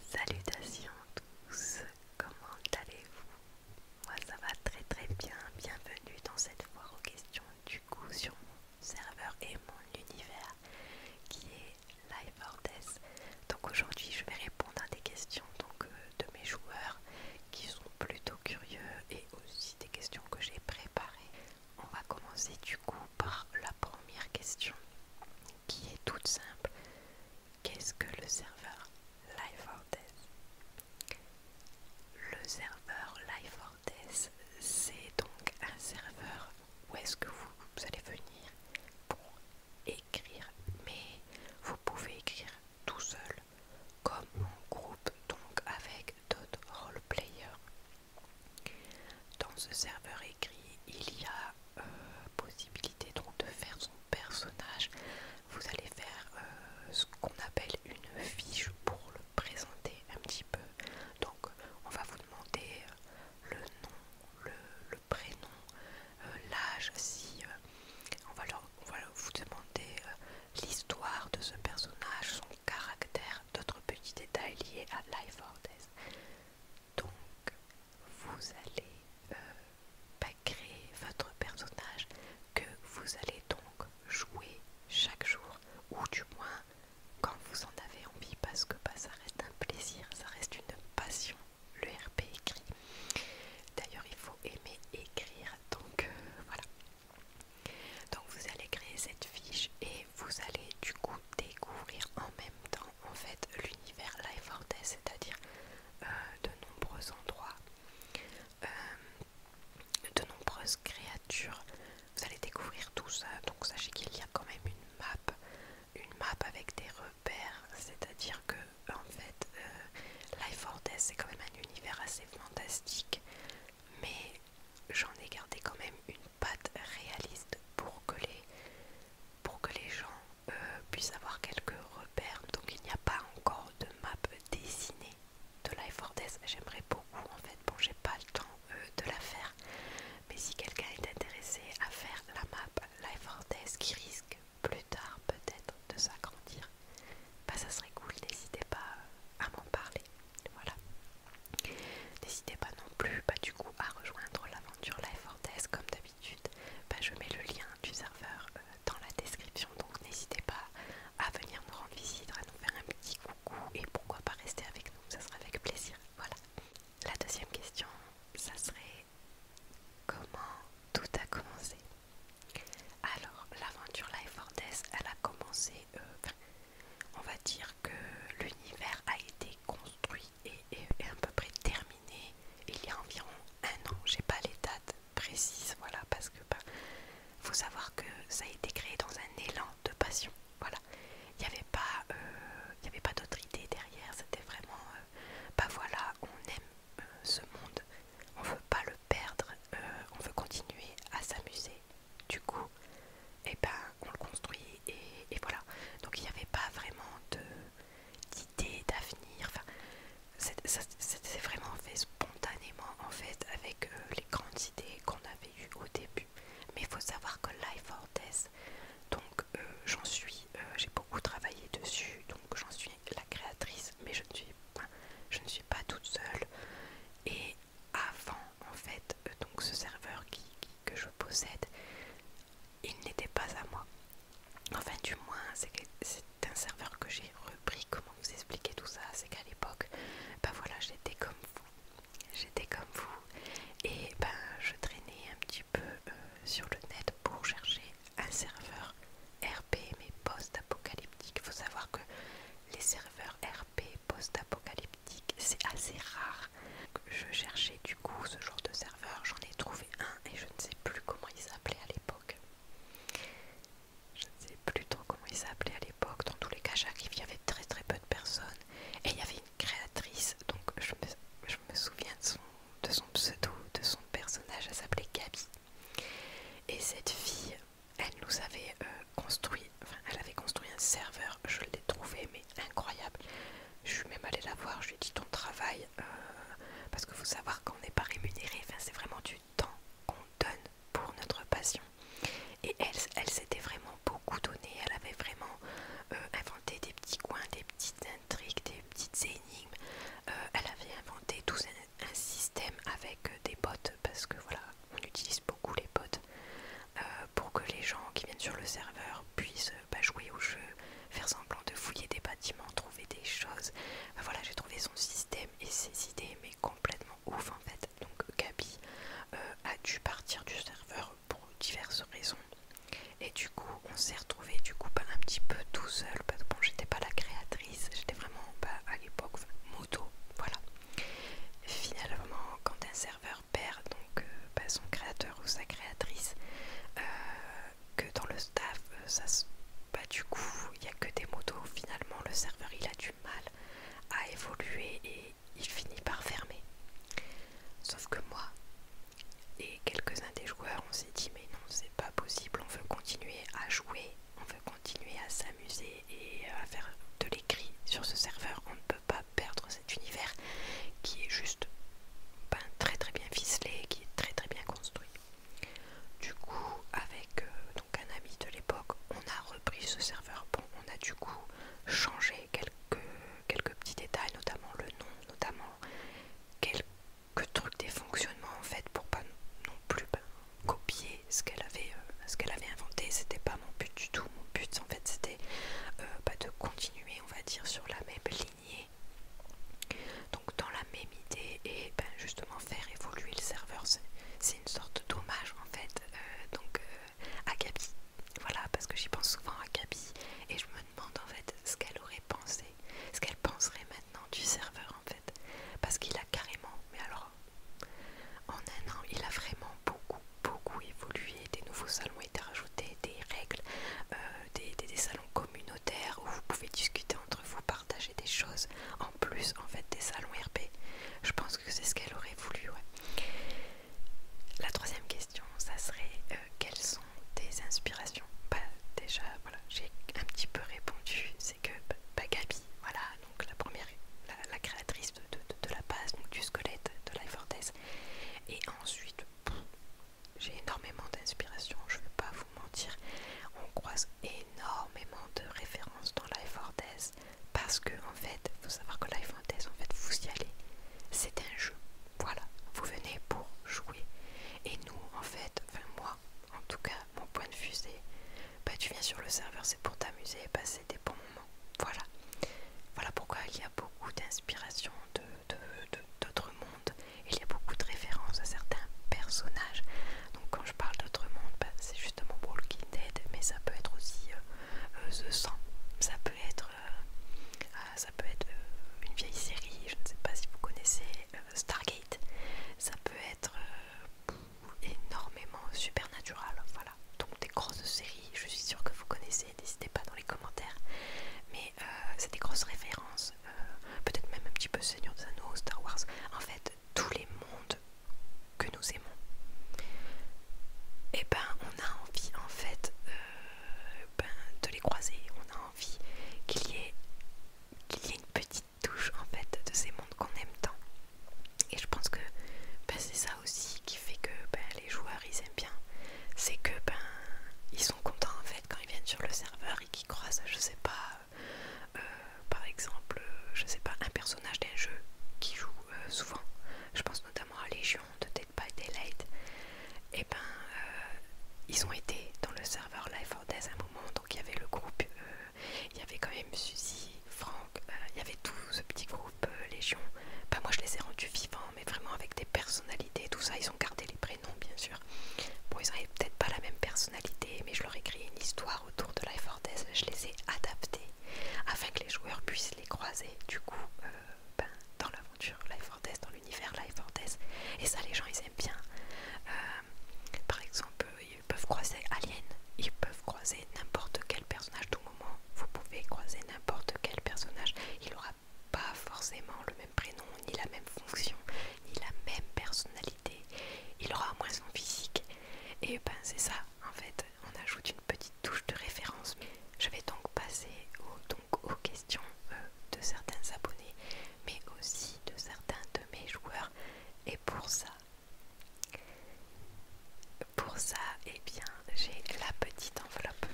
Salutations tous, comment allez-vous Moi ça va très très bien, bienvenue dans cette foire aux questions du coup sur mon serveur et mon univers qui est LiveHordes. Donc aujourd'hui je vais répondre à des questions donc euh, de mes joueurs qui sont plutôt curieux et aussi des questions que j'ai préparées. On va commencer du coup par la première question qui est toute simple. Qu'est-ce que le serveur Life Death Le serveur Life Death c'est donc un serveur où est-ce que vous allez venir pour écrire, mais vous pouvez écrire tout seul comme en groupe donc avec d'autres roleplayers. Dans ce serveur écrit, il y a euh, possibilité donc de faire son personnage. Vous allez faire euh, ce qu'on appelle une fiche pour le présenter un petit peu. Donc on va vous demander euh, le nom, le, prénom, l'âge, si on, va vous demander l'histoire de ce personnage, son caractère, d'autres petits détails liés à Life Death. Donc, vous allez euh, créer votre personnage que vous allez donc jouer chaque jour, ou du moins quand vous en avez envie, parce que pas bah, ça reste un plaisir, ça reste une passion. Le RP écrit D'ailleurs, il faut aimer écrire, donc euh, voilà. Donc vous allez créer cette fiche et vous allez du coup découvrir en même temps en fait l'univers Life c'est-à-dire euh, de nombreux endroits, euh, de nombreuses créatures. Vous allez découvrir tout ça, donc sachez qu'il y a quand même une map, une map avec des repères, c'est-à-dire que euh, en fait euh, Life or c'est quand même un univers assez fantastique mais j'en ai gardé quand même une patte réaliste pour que les, pour que les gens euh, puissent avoir quelques repères donc il n'y a pas encore de map dessinée de Life or j'aimerais beaucoup en fait bon j'ai pas le temps de la faire mais si quelqu'un est intéressé à faire la map Life or qui risque plus tard peut-être de s'agrandir, bah ça serait cool, n'hésitez pas euh, à m'en parler. Voilà. N'hésitez pas non plus bah, du coup à rejoindre l'aventure Life forteresse, comme d'habitude. Bah, je mets le lien du serveur euh, dans la description, donc n'hésitez pas à venir nous rendre visite, à nous faire un petit coucou et pourquoi pas rester avec nous, ça serait avec plaisir. Voilà. La deuxième question, ça serait comment tout a commencé alors, l'aventure Life for elle a commencé, euh, on va dire que l'univers a été construit et, à peu près terminé il y a environ un an. J'ai pas les dates précises, voilà, parce que bah, faut savoir que ça a été créé dans un élan de passion, voilà. Il n'y avait pas, euh, pas d'autre idée derrière, c'était vraiment, euh, bah voilà, on aime ce monde on veut pas le perdre, euh, on veut continuer à s'amuser. Du coup, et eh ben, on le construit et, voilà. Donc il n'y avait pas vraiment d'idée d'avenir. Enfin, c'est vraiment fait spontanément en fait avec euh, les grandes idées qu'on avait eues au début. Mais il faut savoir que Life or Death, donc euh, j'en suis, j'ai beaucoup travaillé dessus, donc j'en suis la créatrice, mais je ne suis, pas toute seule. Et avant, en fait, euh, donc ce serveur qui, que je possède, il n'était pas à moi. Enfin, du moins, c'est un serveur que j'ai repris. Comment vous expliquer tout ça C'est qu'à l'époque, ben voilà, j'étais comme vous. J'étais comme vous. Et ben, je traînais un petit peu euh, sur le net pour chercher un serveur RP mais post-apocalyptique. Il faut savoir que les serveurs RP post-apocalyptique, c'est assez rare. Je cherchais du coup ce genre de serveur, j'en ai trouvé un et je ne sais plus comment il s'appelait à l'époque. Je ne sais plus trop comment ils s'appelait à l'époque. Dans tous les cas, j'arrive, il y avait très très peu de personnes et il y avait une créatrice, donc je me, souviens de son, de son pseudo, de son personnage, elle s'appelait Gabi. Et cette fille, elle nous avait euh, construit, elle avait construit un serveur, je l'ai trouvé mais incroyable. Je suis même allée la voir, je lui ai dit ton travail, euh, parce que faut savoir qu'on n'est pas rémunéré, c'est vraiment du temps qu'on donne pour notre passion. Et elle, s'était vraiment beaucoup donnée, elle avait vraiment euh, inventé des petits coins, des petites intrigues, des petites énigmes, elle avait inventé tout ça un, système avec euh, des bots parce que voilà, on utilise beaucoup les bots euh, pour que les gens qui viennent sur le serveur puissent euh, bah, jouer au jeu, faire semblant de fouiller des bâtiments, trouver des choses. voilà, j'ai trouvé son système et ses idées mais complètement ouf en fait. Donc Gabi a dû partir du serveur pour diverses raisons. Et du coup, on s'est retrouvé du coup pas bah, un petit peu tout seul. parce Bon, j'étais pas la créatrice j'étais vraiment bah, à l'époque, moto, voilà. Finalement, quand un serveur perd donc euh, bah, son créateur ou sa créatrice, euh, que dans le staff, euh, ça bah, du coup, il n'y a que des motos, finalement le serveur il a du mal à évoluer et il finit par fermer. Sauf que moi et quelques-uns des joueurs, on s'est dit mais non, c'est pas possible, on veut continuer à jouer on veut continuer à s'amuser et à faire de l'écrit sur ce serveur, on ne peut pas perdre cet univers qui est juste ben, très très bien ficelé, qui est très très bien construit. Du coup, avec euh, un ami de l'époque, on a repris ce serveur. Bon, on a du coup changé quelques, quelques petits détails, notamment le nom, notamment quel que truc des fonctionnements en fait pour pas non plus bah, copier ce qu'elle avait, euh, ce qu'elle avait inventé. C'était pas mon but du tout. Mon but en fait c'était pas euh, bah, de continuer on va dire sur la même lignée. Donc dans la même idée et ben, justement faire évoluer le serveur. C'est une sorte d'hommage en fait euh, donc à Gabi. Voilà parce que j'y pense souvent à Gabi et je me demande en fait ce qu'elle aurait pensé ce qu'elle penserait maintenant du serveur en fait. Parce qu'il a carrément, mais alors en un an, il a vraiment beaucoup, beaucoup évolué. Des nouveaux salons ont été rajoutés, des règles, euh, des, salons communautaires où vous pouvez discuter entre vous, partager des choses en plus en fait des salons RP. Je pense que c'est ce qu'elle aurait voulu, La troisième question, ça serait euh, quelles sont tes inspirations bah, Déjà Déjà, j'ai un petit peu répondu, c'est que Bagabi, voilà, donc la première, la, créatrice de, la base, donc du squelette de Life Fortes. Et ensuite, j'ai énormément d'inspiration, je ne veux pas vous mentir, on croise énormément de références dans Life Fortes parce que en fait, faut savoir que Life Fortes, en fait, vous y allez, c'est un jeu, voilà, vous venez pour jouer. Et nous, en fait, enfin moi, en tout cas, mon point de fusée bah, tu viens sur le serveur, c'est pour t'amuser bah, et passer des bons moments. Voilà. Voilà pourquoi il y a beaucoup d'inspiration de, d'autres mondes. Il y a beaucoup de références à certains personnages. Donc quand je parle d'autres mondes, bah, c'est justement Walking Dead, mais ça peut être aussi euh, euh, The Sang. Ça peut être, euh, ah, ça peut être une vieille série, je ne sais pas si vous connaissez Stargate. Ça peut être euh, énormément supernatural. Voilà, donc des grosses séries, je suis sûre que vous connaissez, n'hésitez pas dans les commentaires. Mais euh, c'est des grosses références, euh, peut-être même un petit peu Seigneur des Anneaux, Star Wars, en fait, tous les mondes que nous aimons. Et eh ben, on a envie en fait ben, de les croiser, on a envie qu'il y, ait qu'il y ait une petite Touche en fait de ces mondes qu'on aime tant. Et je pense que ben, c'est ça aussi qui fait que ben, les joueurs ils aiment bien. C'est que ben ils sont contents en fait quand ils viennent sur le serveur et qu'ils croisent, je sais pas, euh, euh, par exemple, euh, je sais pas, un personnage d'un jeu qui joue souvent. Je pense notamment à Légion de Dead by Daylight. Et ben ils ont été dans le serveur Life or Death à un moment qu'il y avait le groupe, euh, il y avait quand même Suzy, Franck, euh, il y avait tout ce petit groupe euh, Légion. Bah, moi je les ai rendus vivants, mais vraiment avec des personnalités, tout ça. Ils ont gardé les prénoms, bien sûr. Bon, ils n'avaient peut-être pas la même personnalité, mais je leur ai créé une histoire autour de Life Fortez. Je les ai adaptés afin que les joueurs puissent les croiser. Du coup, ben, dans l'aventure Life Fortez, dans l'univers Life Fortez, et ça, les gens ils bien. Euh, par exemple, ils peuvent croiser Alien, ils peuvent croiser n'importe quel personnage. Tout moment, vous pouvez croiser n'importe quel personnage. Il aura pas forcément le même prénom, ni la même fonction, ni la même personnalité. Il aura moins son physique. Et ben c'est ça, en fait, on ajoute une petite touche de référence. Je vais donc passer aux, donc, aux questions euh, de certains abonnés, mais aussi de certains de mes joueurs et pour ça pour ça et eh bien j'ai la petite enveloppe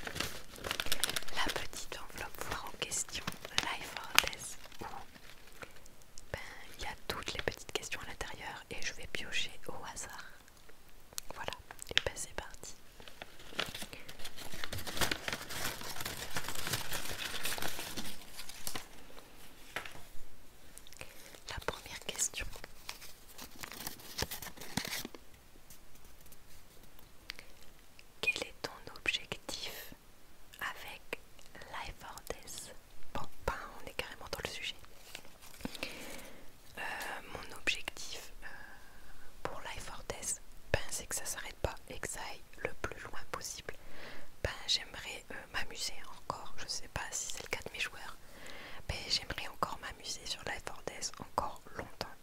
la petite enveloppe voire en question Life or où ben, il y a toutes les petites questions à l'intérieur et je vais piocher au hasard voilà et ben c'est parti la première question. Quel est ton objectif avec Life or Death Bon, ben, on est carrément dans le sujet. Euh, mon objectif euh, pour Life or Death, ben, c'est que ça s'arrête pas et que ça aille le plus loin possible ben, j'aimerais euh, m'amuser encore. Je sais pas si c'est le cas de mes joueurs, mais j'aimerais encore m'amuser sur Life or encore longtemps.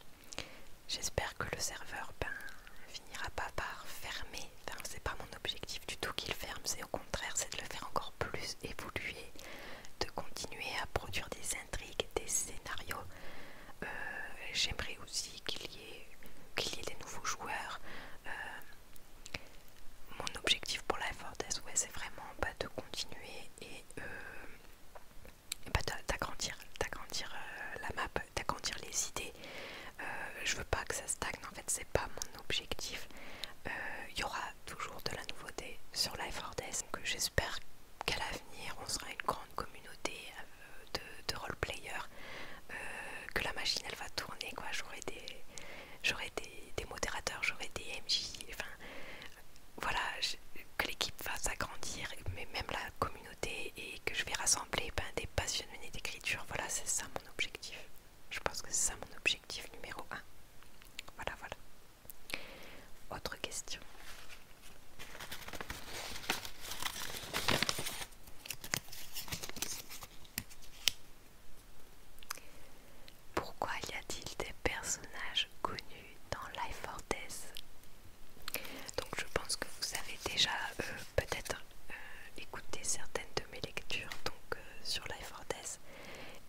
J'espère que le serveur ben, finira pas par fermer. Enfin, c'est pas mon objectif du tout qu'il ferme, c'est au contraire, c'est de le faire encore plus évoluer, de continuer à produire des intrigues, des scénarios. Euh, j'aimerais aussi qu'il y, ait des nouveaux joueurs. Euh, mon objectif pour Life Fortes, ouais, c'est vraiment de continuer et, euh, bah, d'agrandir euh, la map, d'agrandir les idées. Je je veux pas que ça stagne, en fait, c'est pas mon objectif. Il y aura toujours de la nouveauté sur Life Fortes, que j'espère qu'à l'avenir, on sera une grande communauté de, role-player euh, que la machine elle va tourner quoi. J'aurai des, j'aurai des, modérateurs, j'aurai des MJ, enfin voilà, que l'équipe va s'agrandir, mais même la communauté et que je vais rassembler ben, des passionnés d'écriture. Voilà, c'est ça mon objectif. Je pense que c'est ça mon objectif numéro 1. Voilà, voilà. Autre question. Pourquoi y a-t-il des personnages connus dans Life or Donc je pense que vous avez déjà euh, peut-être euh, écouté certaines de mes lectures donc, euh, sur Life or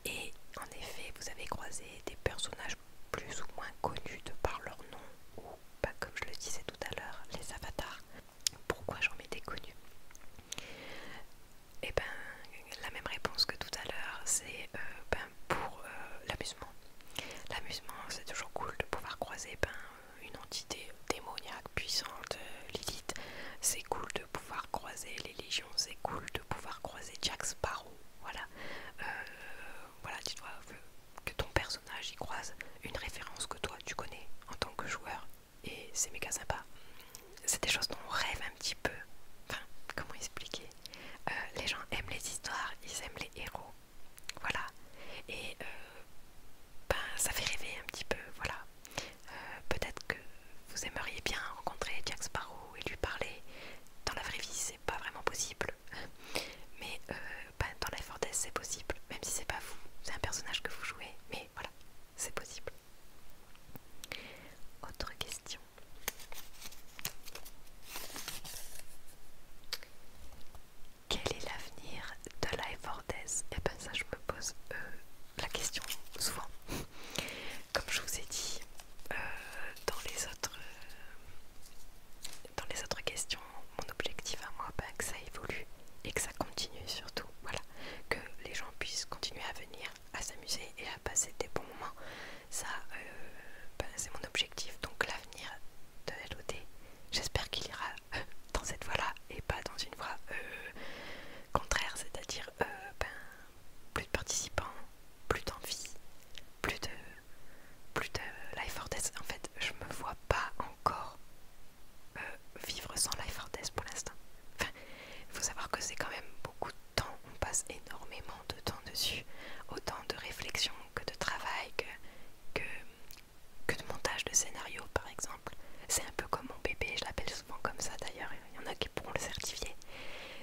et en effet vous avez croisé des personnages plus ou moins connus de par leur nom ou pas bah, comme je le disais tout à l'heure les avatars pourquoi j'en ai connu Et eh ben la même réponse que tout à l'heure, c'est euh, ben, pour euh, l'amusement. L'amusement, c'est toujours cool de pouvoir croiser ben, une entité démoniaque puissante, euh, Lilith. C'est cool de pouvoir croiser les légions, c'est cool de pouvoir croiser Jack Sparrow. Voilà, voilà, tu dois que ton personnage y croise une référence que toi tu connais en tant que joueur et c'est méga sympa. C'est des choses dont on rêve un petit peu. Enfin, comment expliquer euh, Les gens aiment les histoires, ils aiment les héros. Voilà. Et euh, ben, ça fait rêver un petit peu. Voilà. Euh, peut-être que vous aimeriez bien rencontrer Jack Sparrow et lui parler. Dans la vraie vie, c'est pas vraiment possible. Mais dans Life or c'est possible, même si c'est pas vous, c'est un personnage que vous jouez, mais voilà, c'est possible. Autre question. Quel est l'avenir de la or Et eh ben ça je me pose euh, la question souvent. Comme je vous ai dit euh, dans les autres euh, dans les autres questions mon objectif à moi, bah, que ça évolue et que ça continue surtout. Voilà, que les gens puissent continuer à venir, à s'amuser et à passer des bons moments. Ça, euh, bah, c'est mon objectif. Donc l'avenir de LOD, j'espère qu'il ira euh, dans cette voie-là et pas dans une voie euh, contraire, c'est-à-dire ben, plus de participants, plus d'envie, plus de plus de life for En fait, je me vois pas encore euh, vivre sans life artist pour l'instant. il faut savoir que c'est quand même beaucoup de temps, on passe énormément de temps dessus, autant de réflexion que de travail, que, que, que de montage de scénario par exemple. C'est un peu comme mon bébé, je l'appelle souvent comme ça d'ailleurs, il y en a qui pourront le certifier.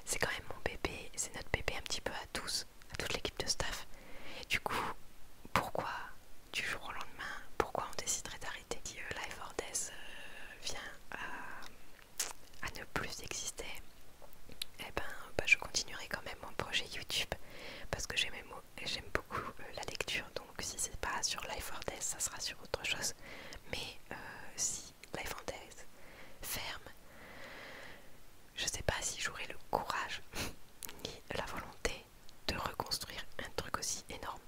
C'est quand même mon bébé, c'est notre bébé un petit peu à tous, à toute l'équipe de staff. Du coup, pourquoi du jour au lendemain, pourquoi on déciderait d'arrêter Si Life or euh, vient à, ne plus exister, eh ben, bah, je continuerai quand même mon projet YouTube parce que j'aime beaucoup euh, la lecture. Donc, si c'est pas sur Life or ça sera sur autre chose. Mais euh, si Life or ferme, je sais pas si j'aurai le courage ni la volonté de reconstruire un truc aussi énorme.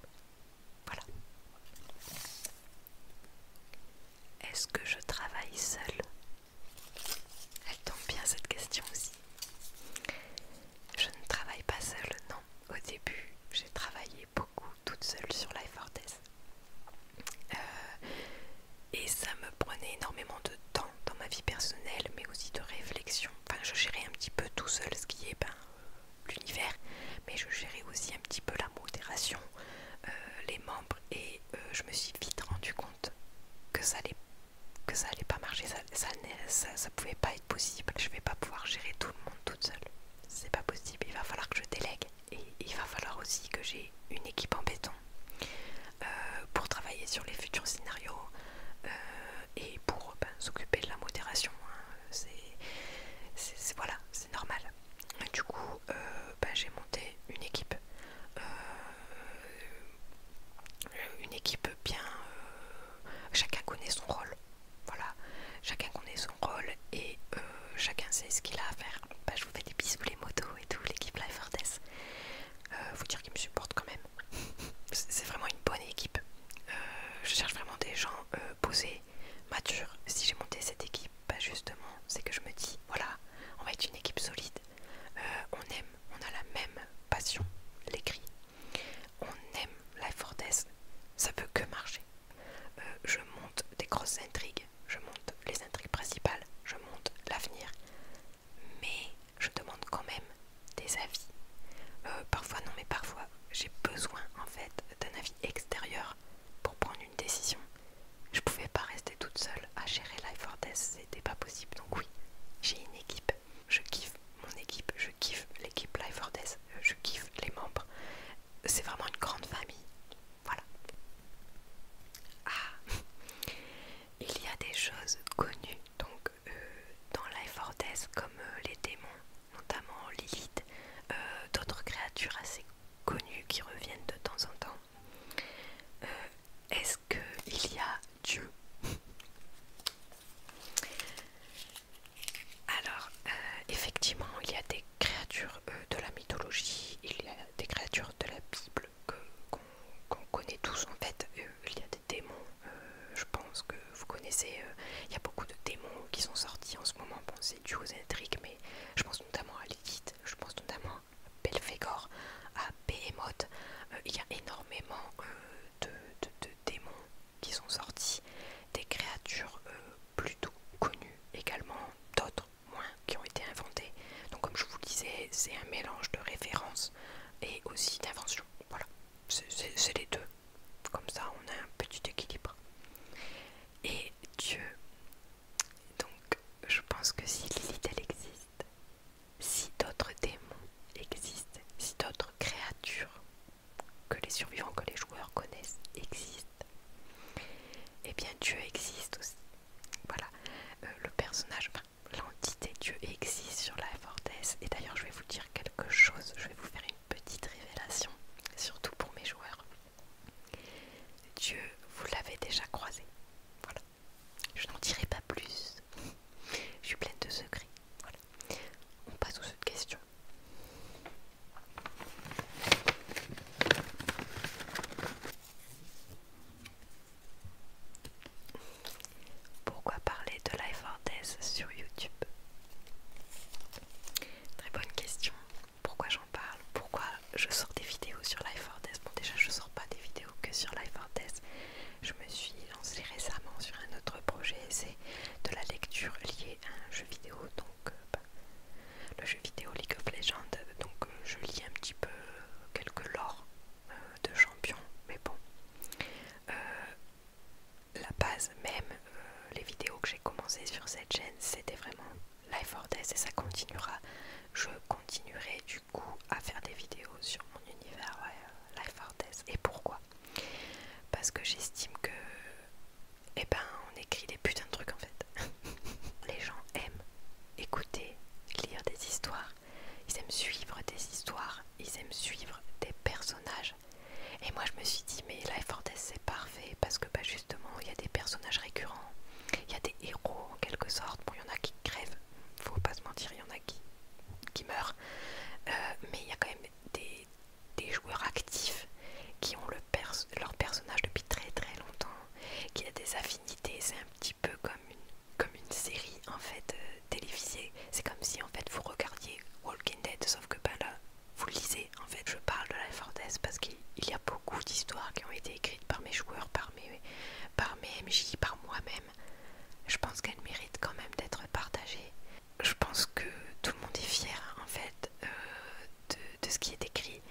Voilà. Est-ce que je travaille seule Elle tombe bien cette question aussi. Je ne travaille pas seule, non. Au début, j'ai travaillé beaucoup toute seule sur Life euh, et ça me prenait énormément de temps dans ma vie personnelle, mais aussi de réflexion. Enfin, je gérais un petit peu tout seul ce qui est ben, l'univers, mais je gérais aussi un petit peu la modération, euh, les membres, et euh, je me suis vite rendu compte que ça allait, que ça allait pas marcher, ça, ça, pouvait pas être possible. Je vais pas pouvoir gérer tout le monde toute seule, c'est pas possible. Il va falloir que je délègue, et il va falloir aussi que j'ai une équipe en béton euh, pour travailler sur les futurs scénarios. Euh, et pour ben, s'occuper de la modération. Hein, c'est voilà, c'est normal. du coup, euh, ben, j'ai monté une équipe, euh, une équipe bien. Euh, chacun connaît son rôle, voilà. Chacun connaît son rôle et chacun sait ce qu'il a à faire. Ben, je vous fais des bisous les motos et tout, l'équipe live Fortesse vous euh, dire qu'ils me supportent quand même. C'est vraiment une bonne équipe. Euh, je cherche vraiment des gens euh, posés, matures. Si j'ai monté cette équipe, pas bah, justement, c'est que je me dis, voilà, on va être une équipe solide. on aime, on a la même passion, l'écrit. On aime la fortesse, ça peut que marcher. je monte des grosses intrigues, je monte les intrigues principales, je monte l'avenir mais je demande quand même des avis. Euh, parfois non, mais parfois j'ai besoin en fait d'un avis extérieur pour prendre une décision. Je pouvais pas rester toute seule à gérer Life for Death, c'était pas possible. Donc oui, j'ai une équipe. Je kiffe mon équipe, je kiffe l'équipe Life or Death, je kiffe les membres. C'est vraiment une grande famille. Voilà. Ah, il y a des choses connues donc euh, dans la comme euh, les démons, notamment Lilith, euh, d'autres créatures assez connues qui reviennent de temps en temps. Est-ce qu'il y a Dieu Alors, effectivement, il y a des créatures de la mythologie, il y a des créatures de la Bible qu'on connaît tous en fait. il y a des démons, euh, je pense que vous connaissez, euh, il y a beaucoup de démons qui sont sortis en ce moment, bon c'est dû aux intrigues, mais je pense notamment à Lilith, je pense notamment à Belphégor, à Behemoth, euh, il y a énormément de, démons qui sont sortis, des créatures plutôt connues également, d'autres moins qui ont été inventées. Donc comme je vous disais, c'est un mélange de références et aussi d'inventions. Voilà c'est les deux. Comme ça, on a un petit équilibre. Et Dieu, donc je pense que si Lilith elle existe, si d'autres démons existent, si d'autres créatures que les survivants, que les joueurs connaissent existent, et eh bien Dieu existe aussi. Voilà, euh, le personnage, l'entité Dieu existe sur la Fortesse et d'ailleurs je vais vous dire quelque chose, je vais vous faire une petite révélation, surtout pour mes joueurs. Dieu, vous l'avez déjà croisé. Voilà. Je n'en dirai pas plus. je suis pleine de secrets. Voilà. On passe aux autres questions. Pourquoi parler de Life Death sur YouTube Très bonne question. Pourquoi j'en parle Pourquoi je sors des vidéos sur Life Death Bon déjà je sors pas des vidéos que sur Life Death. Je me suis lancée récemment sur un autre projet, c'est de la lecture liée à un jeu vidéo, donc euh, bah, le jeu vidéo League of Legends, donc euh, je lis un petit peu quelques lore de champion, mais bon. Euh, la base même, euh, les vidéos que j'ai commencé sur cette chaîne, c'était vraiment Life or Death et ça continuera. Je continuerai du coup à faire des vidéos sur mon univers euh, Life or Death. Et pourquoi Parce que j'estime que, et eh ben, on écrit des putains de trucs en fait. Les gens aiment écouter, lire des histoires ils aiment suivre des histoires, ils aiment suivre des personnages. Et moi je me suis dit mais Life for c'est parfait parce que pas bah, justement il y a des personnages récurrents, il y a des héros en quelque sorte. Bon il y en a qui crèvent, faut pas se mentir, il y en a qui, qui meurent. Euh, mais il y a quand même des, joueurs actifs qui ont le leur personnage depuis très très longtemps, qui a des affinités, un petit peu comme une, comme une série en fait euh, télévisée. C'est comme si en fait vous regardiez Walking Dead, sauf que pas ben là vous lisez. En fait, je parle de la Death parce qu'il y a beaucoup d'histoires qui ont été écrites par mes joueurs, par mes, par mes MJ, par moi-même. Je pense qu'elles méritent quand même d'être partagées. Je pense que tout le monde est fier en fait euh, de, ce qui est écrit.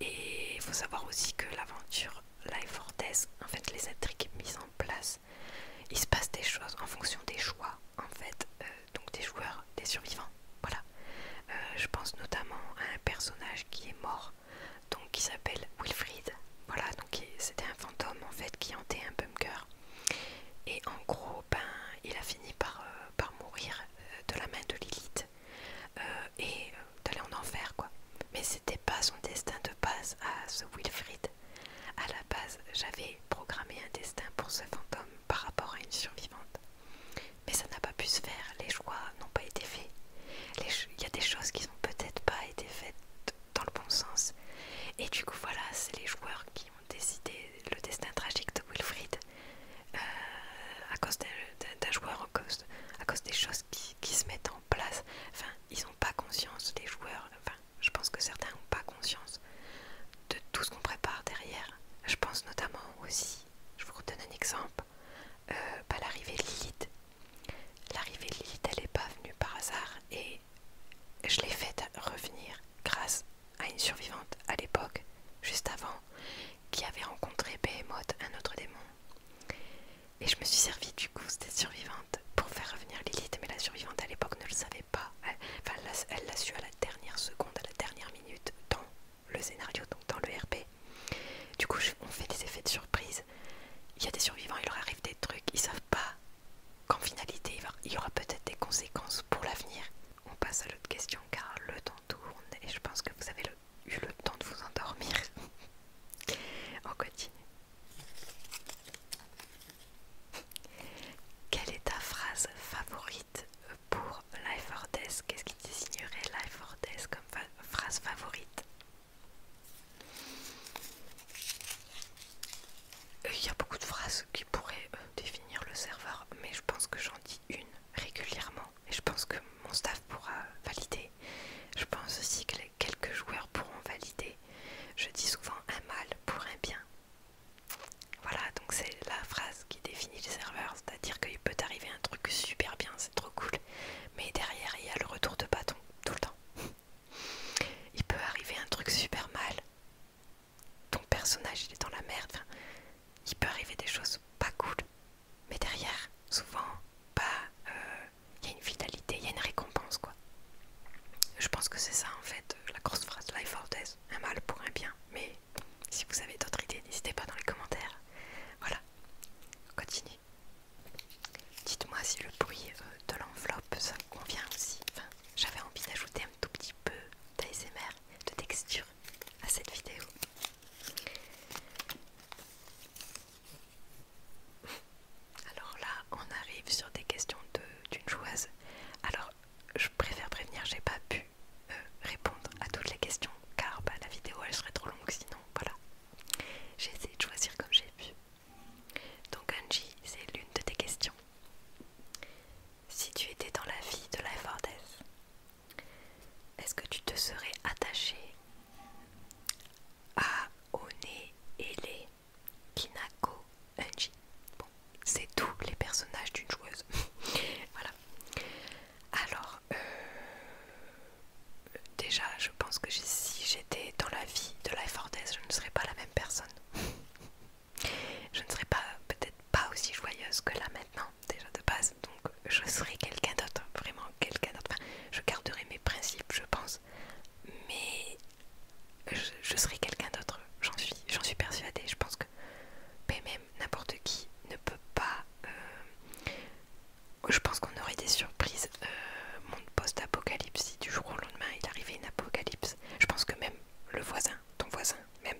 Et il faut savoir aussi que l'aventure Life or en fait, les intrigues mises en place il se passe des choses en fonction des choix, en fait, euh, donc des joueurs, des survivants. Voilà. Euh, je pense notamment à un personnage qui est mort, donc qui s'appelle Wilfried. Voilà, donc c'était un fantôme en fait qui hantait un bunker. Et en gros, ben, il a fini par, euh, par mourir de la main de Lilith et d'aller en enfer, quoi. Mais c'était pas son destin de base à ce Wilfrid. À la base, j'avais programmé un destin pour ce fantôme par rapport à une survivante. Mais ça n'a pas pu se faire, les choix n'ont pas été faits. Il y a des choses qui n'ont peut-être pas été faites dans le bon sens. Et du coup, voilà, c'est les joueurs qui ont décidé le destin tragique de Wilfrid euh, à cause d'un joueur, à cause, à cause des choses qui, qui se mettent en place. Enfin, ils n'ont pas conscience, les joueurs, je pense que certains n'ont pas conscience de tout ce qu'on prépare derrière. Je pense notamment aussi, je vous donne un exemple, euh, bah, l'arrivée de Lilith. L'arrivée de Lilith, elle n'est pas venue par hasard et je l'ai faite revenir grâce à une survivante à l'époque, juste avant, qui avait rencontré Behemoth, un autre démon. Et je me suis servi du coup, des survivante, pour faire revenir Lilith. Mais la survivante à l'époque ne le savait pas. Enfin, elle l'a su à la dernière seconde, à la dernière minute, dans le scénario, donc dans le RP. Du coup, on fait des effets de surprise. Il y a des survivants, il leur arrive des trucs, ils savent pas qu'en finalité, il, y aura peut-être des conséquences pour l'avenir. On passe à l'autre question car le temps tourne et je pense que vous avez eu le temps de vous endormir. on continue. Quelle est ta phrase favorite pour Life or Qu'est-ce qui désignerait Life or comme phrase favorite euh, Il y a beaucoup de phrases qui pourraient euh, définir le serveur, mais je pense que j'en dis une régulièrement et je pense que mon staff pourra valider. Je pense aussi que quelques joueurs pourront valider. Je dis souvent un mal pour un bien. Voilà, donc c'est la phrase qui définit les serveurs, c'est-à-dire qu'il peut arriver un truc super bien, c'est trop cool, mais derrière il y a le retour de bâton tout le temps. Il peut arriver un truc super mal, ton personnage il est dans la merde, il peut arriver des choses pas cool, mais derrière, souvent, pas. Il euh, y a une vitalité, il y a une récompense, quoi. Je pense que c'est ça, en fait, euh, la grosse phrase Life or un mal pour un bien. Mais si vous avez d'autres idées, n'hésitez pas dans les commentaires. Voilà, on continue. Dites-moi si le bruit euh, de l'enveloppe, ça convient aussi. j'avais envie d'ajouter un tout petit peu d'ASMR, de texture à cette vidéo. Alors là, on arrive sur des questions d'une joueuse. Alors, je préfère prévenir, j'ai pas pu euh, répondre à toutes les questions car bah, la vidéo elle serait trop longue sinon, voilà. J'ai essayé de choisir comme j'ai pu. Donc Angie, c'est l'une de tes questions. Si tu étais dans la vie de la Death est-ce que tu te serais attaché à nez et les Kinako Unji. Bon, c'est tous les personnages d'une joueuse. voilà. Alors, euh, déjà, je pense que si j'étais dans la vie de la je ne serais pas la même personne. je ne serais pas, peut-être pas aussi joyeuse que là maintenant, déjà de base. Donc, je serais quelqu'un d'autre, vraiment quelqu'un d'autre. je garderai mes principes, je pense. Mais je, serai quelqu'un d'autre, j'en suis, suis persuadée. Je pense que même n'importe qui ne peut pas... Euh, je pense qu'on aurait des surprises. Euh, Mon post-apocalypse, si du jour au lendemain il arrivait une apocalypse, je pense que même le voisin, ton voisin, même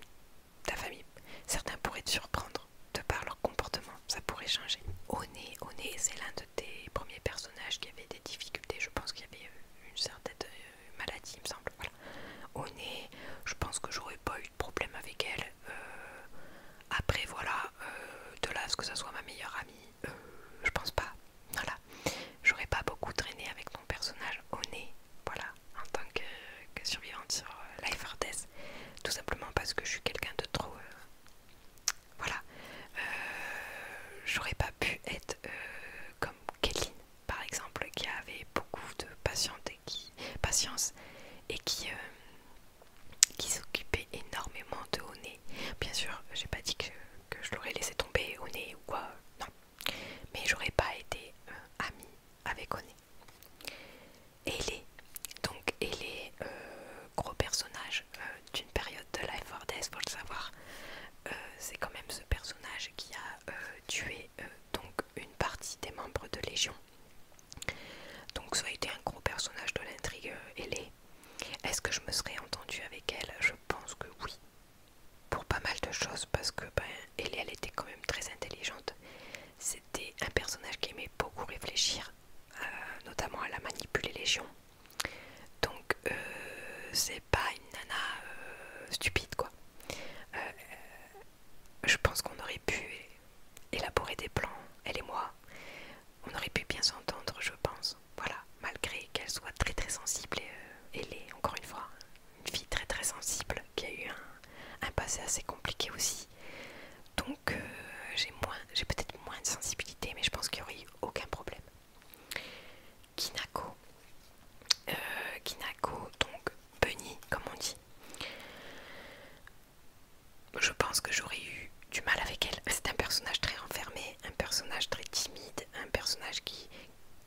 ta famille, certains pourraient te surprendre de par leur comportement, ça pourrait changer. Oné, nez, c'est l'un de tes premiers personnages qui avait des difficultés, je pense qu'il y avait euh, une certaine euh, maladie, il me semble. Voilà. Au nez, je pense que j'aurais pas eu de problème avec elle. Euh, après, voilà, de là ce que ça soit ma meilleure amie, je pense pas. Voilà, j'aurais pas beaucoup traîné avec mon personnage au nez, voilà, en tant que, survivante sur Life or Death, tout simplement parce que je suis quelqu'un de trop. Voilà. Euh, j'aurais pas pu être euh, comme Kéline, par exemple, qui avait beaucoup de qui, patience et qui, euh, qui s'occupait énormément de Oné Bien sûr, j'ai pas dit que, je l'aurais laissé tomber au ou quoi, non. Mais j'aurais pas été amie avec Oné. est donc Elé, gros personnage euh, d'une période de Life or Death, le savoir. Euh, c'est quand même ce personnage qui a euh, tué donc une partie des membres de Légion. Donc ça a été un gros personnage de l'intrigue et Est-ce que je me serais entendue avec elle Je pense que oui. Pour pas mal de choses parce que ben elle, était quand même très intelligente. C'était un personnage qui aimait beaucoup réfléchir, notamment à la manipuler Légion. Donc euh, c'est pas une nana euh, stupide quoi. Euh, je pense qu'on aurait pu élaborer des plans, elle et moi. On aurait pu bien s'entendre, je pense. Voilà, malgré qu'elle soit très très sensible et elle est encore une fois une fille très très sensible qui a eu un, passé assez compliqué aussi. Donc j'ai j'ai peut-être moins de sensibilité, mais je pense qu'il y aurait aucun problème. Kinako, euh, Kinako, donc Bunny, comme on dit. Je pense que j'aurais eu du mal avec elle. C'est un personnage très renfermé, un personnage très timide, un personnage qui,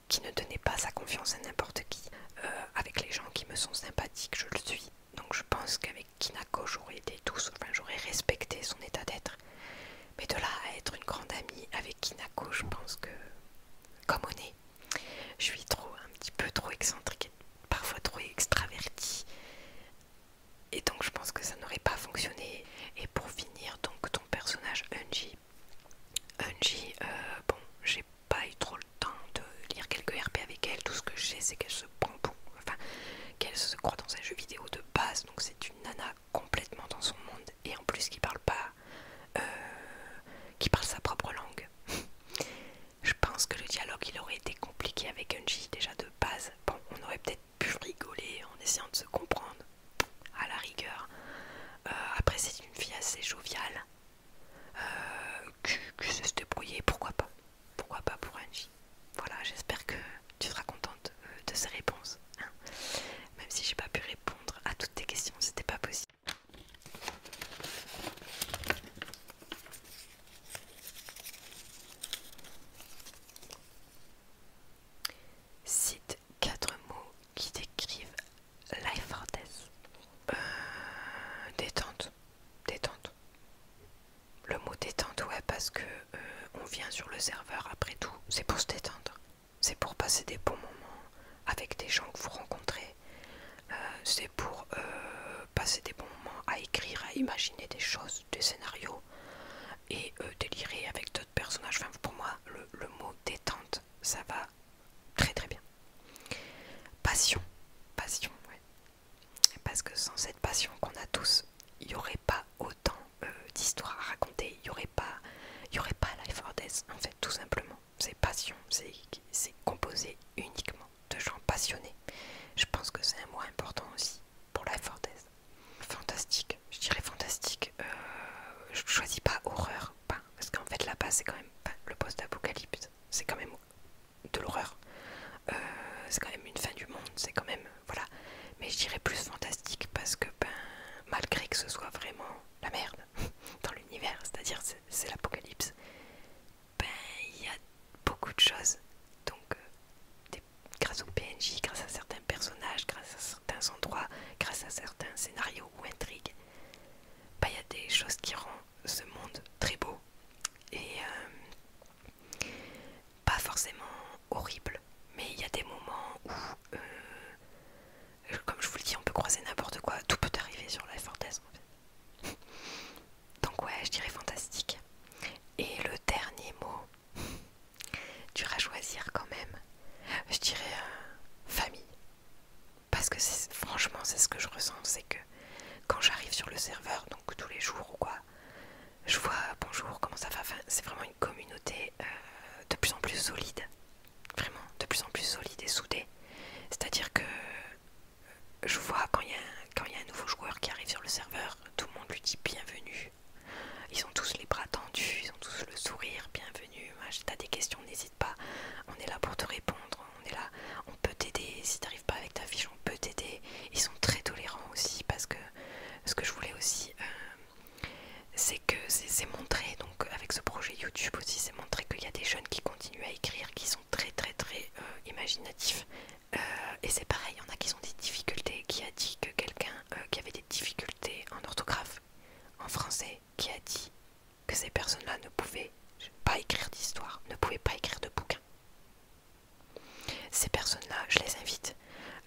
qui ne donnait pas sa confiance à n'importe qui. Euh, avec les gens qui me sont sympathiques, je le suis. Donc je pense qu'avec Kinako, j'aurais été douce, enfin j'aurais respecté son état d'être. Mais de là à être une grande amie avec Kinako, je pense que, comme on est, je suis trop, un petit peu trop excentrique parfois trop extravertie. Et donc je pense que ça n'aurait pas fonctionné. Et pour finir, donc ton personnage Unji. Unji, euh, bon, j'ai pas eu trop le temps de lire quelques RP avec elle. Tout ce que je sais, c'est qu'elle se prend pour... Enfin, qu'elle se croit dans un jeu vidéo de base. Donc c'est nana complètement dans son monde et en plus qui parle pas euh, qui parle sa propre langue je pense que le dialogue il aurait été compliqué avec J déjà de base bon on aurait peut-être pu rigoler en essayant de se comprendre à la rigueur euh, après c'est une fille assez joviale euh, qui, se débrouiller pourquoi pas pourquoi pas pour un voilà, j'espère que tu seras contente euh, de ces réponses. Hein. Même si j'ai pas pu répondre à toutes tes questions, c'était pas possible. Cite quatre mots qui décrivent Life euh, détente, détente, le mot détente, ouais, parce que euh, on vient sur le serveur après tout. C'est pour se détendre. C'est pour passer des bons moments avec des gens que vous rencontrez. Euh, c'est pour euh, passer des bons moments à écrire, à imaginer des choses, des scénarios et délirer avec d'autres personnages. Enfin, pour moi, le, le mot détente, ça va très très bien. Passion, passion, ouais. Parce que sans cette passion qu'on a tous, il n'y aurait pas autant temps euh, d'histoire d'histoires à raconter, il n'y aurait pas, y aurait pas Life or en fait, tout simplement. C'est passion, c'est composé uniquement de gens passionnés. Je pense que c'est un mot important aussi pour Life or Fantastique, je dirais fantastique. je euh, je choisis pas horreur, parce qu'en fait là-bas c'est quand même le post-apocalypse, c'est quand même de l'horreur. Euh, c'est quand même une fin du monde, c'est quand même voilà. Mais je dirais plus fantastique parce que, ben, malgré que ce soit vraiment la merde dans l'univers, c'est-à-dire c'est l'apocalypse, ben, il y a beaucoup de choses. Donc, euh, grâce au PNJ, grâce à certains personnages, grâce à certains endroits, grâce à certains scénarios ou intrigues, ben, il y a des choses qui rendent ce monde très beau et euh, pas forcément horrible. Mais il y a des moments où, euh, comme je vous le dis, on peut croiser n'importe quoi. Tout peut arriver sur la forteresse. Donc ouais, je dirais fantastique. Et le dernier mot, tu à choisir quand même. Je dirais euh, famille. Parce que franchement, c'est ce que je ressens, c'est que quand j'arrive sur le serveur, donc tous les jours ou quoi, je vois bonjour, comment ça va. c'est vraiment une communauté euh, de plus en plus solide, vraiment de plus en plus solide et soudée. C'est-à-dire que euh, je vois quand il y, a un nouveau joueur qui arrive sur le serveur, tout le monde lui dit bienvenue. Ils ont tous les bras tendus, ils ont tous le sourire, bienvenue. T'as des questions, n'hésite pas. On est là pour te répondre, on est là, on peut t'aider. Si t'arrives pas avec ta fiche, on peut t'aider. Ils sont très tolérants aussi parce que ce que je voulais aussi euh, c'est que c'est montré donc avec ce projet YouTube aussi c'est montré qu'il y a des jeunes qui continuent à écrire qui sont très très très euh, imaginatifs euh, et c'est pareil il y en a qui ont des difficultés qui a dit que quelqu'un qui avait des difficultés en orthographe en français qui a dit que ces personnes là ne pouvaient pas écrire d'histoire ne pouvaient pas écrire de bouquins ces personnes-là, je les invite.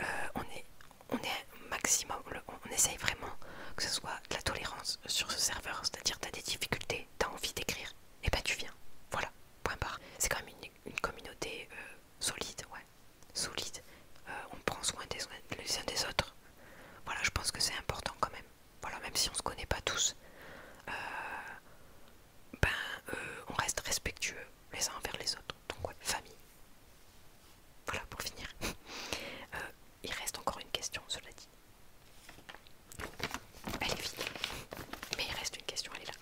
Euh, on est on maximum, on essaye vraiment que ce soit de la tolérance sur ce serveur, c'est-à-dire t'as des difficultés, t'as envie d'écrire, et eh bah ben, tu viens. Voilà, point barre. C'est quand même une, communauté euh, solide, ouais, solide. Euh, on prend soin des, uns des autres. Voilà, je pense que c'est important quand même. Voilà, même si on se connaît pas tous, ben, euh, on reste respectueux les uns envers les autres. Donc ouais, famille. Voilà pour finir. Euh, il reste encore une question, cela dit. Elle est vide. Mais il reste une question, elle est là.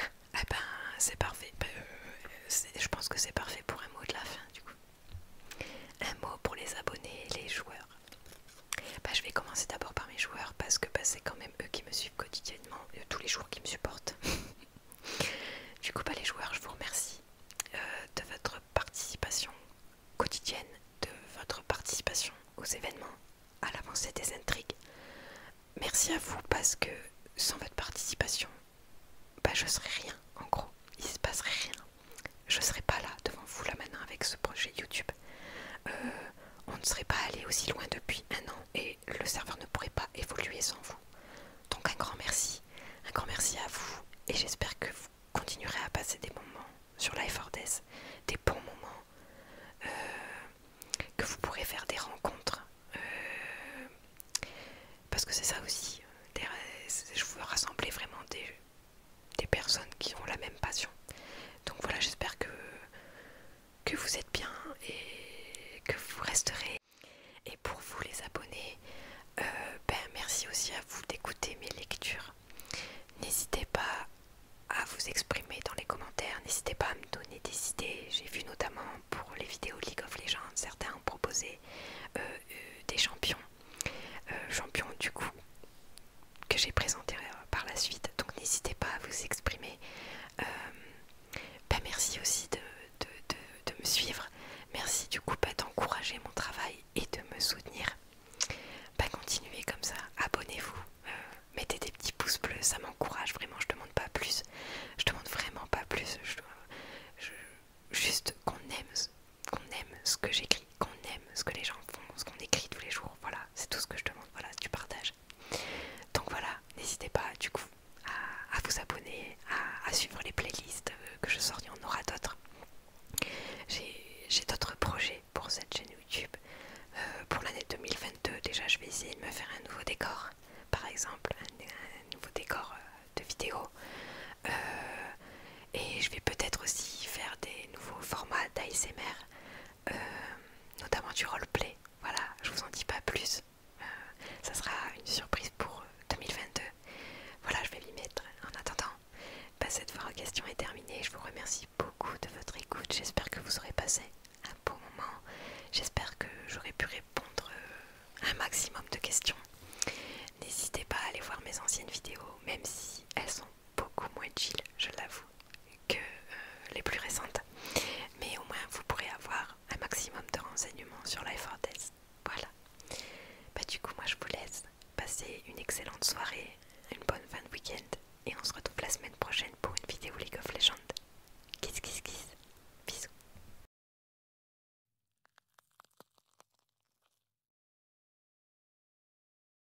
Ah ben, c'est parfait. Ben, euh, je pense que c'est parfait pour un mot de la fin, du coup. Un mot pour les abonnés et les joueurs bah, je vais commencer d'abord par mes joueurs parce que bah, c'est quand même eux qui me suivent quotidiennement, euh, tous les jours qui me supportent. du coup, bah, les joueurs, je vous remercie euh, de votre participation quotidienne, de votre participation aux événements, à l'avancée des intrigues. Merci à vous parce que sans votre participation, bah, je serais rien en gros, il se passerait rien. Je serais pas là devant vous là maintenant avec ce projet YouTube. Euh, on ne serait pas allé aussi loin depuis un an et le serveur ne pourrait pas évoluer sans vous. Donc un grand merci, un grand merci à vous et j'espère que vous continuerez à passer des moments sur Life for des bons moments, euh, que vous pourrez faire des rencontres. Euh, parce que c'est ça aussi, je veux rassembler vraiment des, des personnes qui ont la même passion. Donc voilà, j'espère que, que vous êtes bien et que vous resterez. Et pour vous les abonnés, euh, ben merci aussi à vous d'écouter mes lectures. N'hésitez pas à vous exprimer dans les commentaires, n'hésitez pas à me donner des idées. J'ai vu notamment pour les vidéos League of Legends, certains ont proposé euh, euh, des champions. champions du coup que j'ai présenté euh, par la suite. Donc n'hésitez pas à vous exprimer. Euh, bah, merci aussi de, me suivre. Merci du coup bah, d'encourager mon travail et de me soutenir. pas bah, continuez comme ça. Abonnez-vous. Euh, mettez des petits pouces bleus. Ça m'encourage vraiment. Je demande pas plus. Je demande vraiment pas plus. juste qu'on aime, qu'on aime ce que j'écris qu'on aime ce que les gens font, ce qu'on écrit tous les jours. Voilà, c'est tout ce que je demande. Voilà, tu partage. Donc voilà, n'hésitez pas du coup à, vous abonner, à, suivre les playlists euh, que je sors. Il y en aura d'autres. J'ai d'autres projets pour cette chaîne YouTube. Euh, pour l'année 2022, déjà, je vais essayer de me faire un nouveau décor. Par exemple, un, nouveau décor euh, de vidéo. et je vais peut-être aussi faire des nouveaux formats d'ASMR euh, notamment du roleplay. Voilà, je vous en dis pas plus. Euh, ça sera une surprise pour 2022. Euh, voilà, je vais m'y mettre. En attendant, bah, cette fois la question est terminée. Je vous remercie beaucoup de votre écoute. J'espère que vous aurez passé un bon moment. J'espère que j'aurai pu répondre un maximum de questions. N'hésitez pas à aller voir mes anciennes vidéos, même si elles sont beaucoup moins chill, je l'avoue, que euh, les plus récentes. Mais au moins, vous pourrez avoir un maximum de renseignements sur l'iPhone Voilà. Bah, du coup, moi, je vous laisse. passer une excellente soirée, une bonne fin de week-end. Et on se retrouve la semaine prochaine pour une vidéo League of Legends. Kiss, kiss, kiss. Bisous.